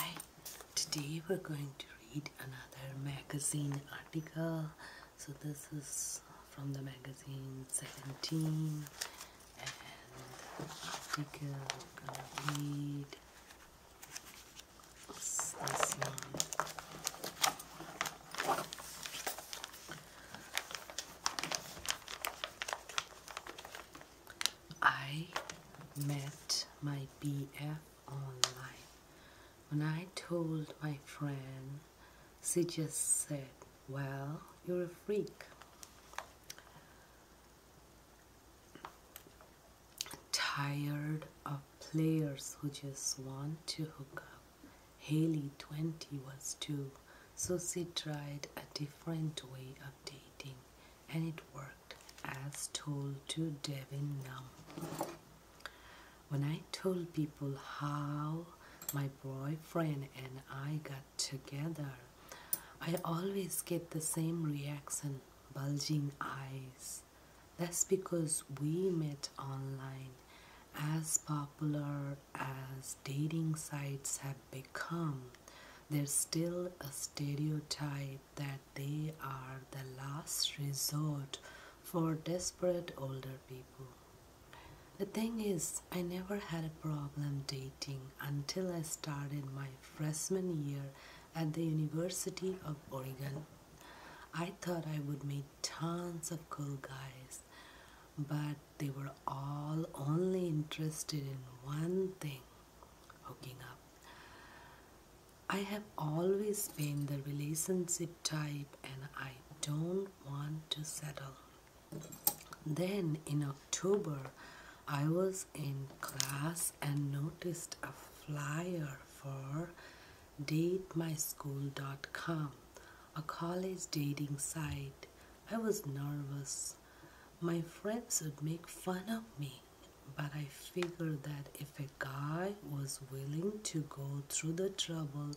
Hi, today we're going to read another magazine article. So, this is from the magazine 17, and article we're gonna read is this one. I met my BF online. When I told my friend, she just said, Well, you're a freak. Tired of players who just want to hook up. Haley 20 was too, so she tried a different way of dating and it worked as told to Devin Numb. When I told people how my boyfriend and I got together, I always get the same reaction bulging eyes. That's because we met online. As popular as dating sites have become, there's still a stereotype that they are the last resort for desperate older people. The thing is, I never had a problem dating until I started my freshman year at the University of Oregon. I thought I would meet tons of cool guys, but they were all only interested in one thing hooking up. I have always been the relationship type and I don't want to settle. Then in October, I was in class and noticed a flyer for datemyschool.com, a college dating site. I was nervous my friends would make fun of me. But I figured that if a guy was willing to go through the trouble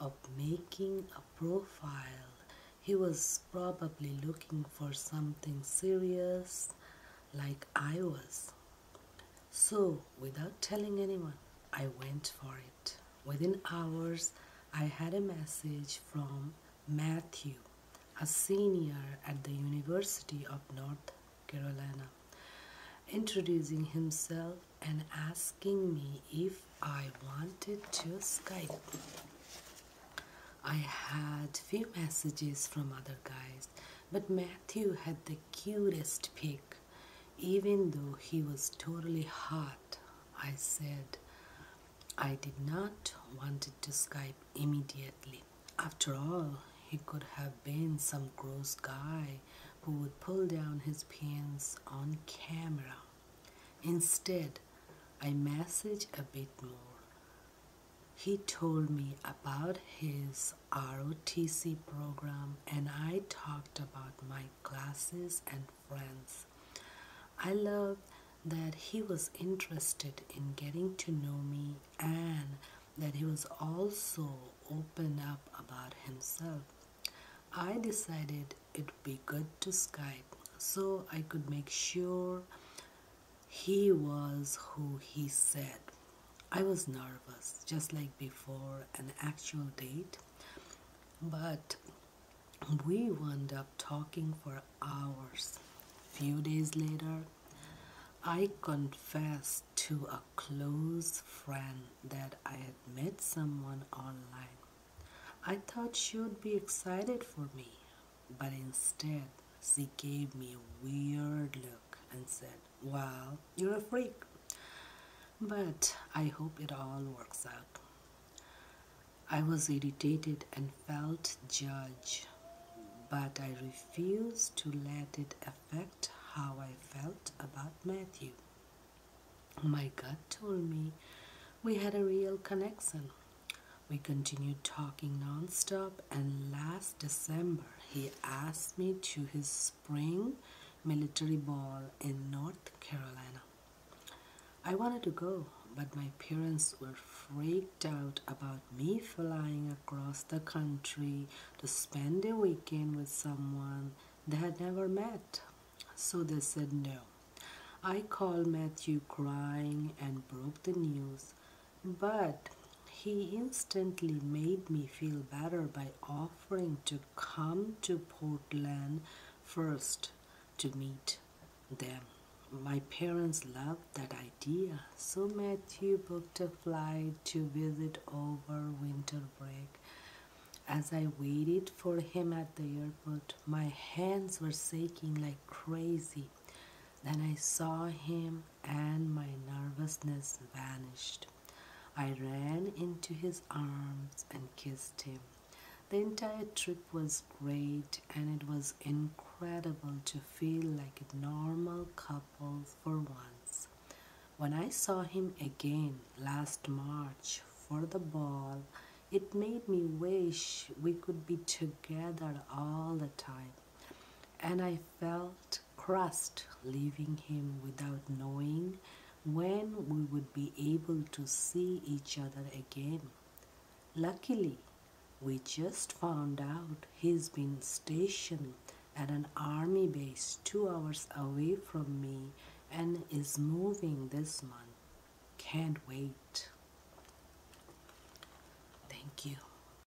of making a profile, he was probably looking for something serious like I was. So, without telling anyone, I went for it within hours I had a message from Matthew, a senior at the University of North Carolina, introducing himself and asking me if I wanted to Skype. I had few messages from other guys, but Matthew had the cutest pic, even though he was totally hot I said I did not want to Skype immediately. After all, he could have been some gross guy who would pull down his pants on camera. Instead, I messaged a bit more. He told me about his ROTC program and I talked about my classes and friends. I loved that he was interested in getting to know me and that he was also open up about himself. I decided it'd be good to Skype so I could make sure he was who he said. I was nervous, just like before an actual date, but we wound up talking for hours. A Few days later, I confessed to a close friend that I had met someone online. I thought she would be excited for me, but instead she gave me a weird look and said, well, you're a freak. But I hope it all works out. I was irritated and felt judged, but I refused to let it affect how I felt about Matthew. My gut told me we had a real connection. We continued talking nonstop, and last December he asked me to his spring military ball in North Carolina. I wanted to go, but my parents were freaked out about me flying across the country to spend a weekend with someone they had never met. So they said no. I called Matthew crying and broke the news, but he instantly made me feel better by offering to come to Portland first to meet them. My parents loved that idea, so Matthew booked a flight to visit over winter break. As I waited for him at the airport, my hands were shaking like crazy. Then I saw him and my nervousness vanished. I ran into his arms and kissed him. The entire trip was great, and it was incredible to feel like a normal couple for once. When I saw him again last March for the ball, it made me wish we could be together all the time and I felt crushed leaving him without knowing when we would be able to see each other again. Luckily, we just found out he's been stationed at an army base two hours away from me and is moving this month. Can't wait. Thank you.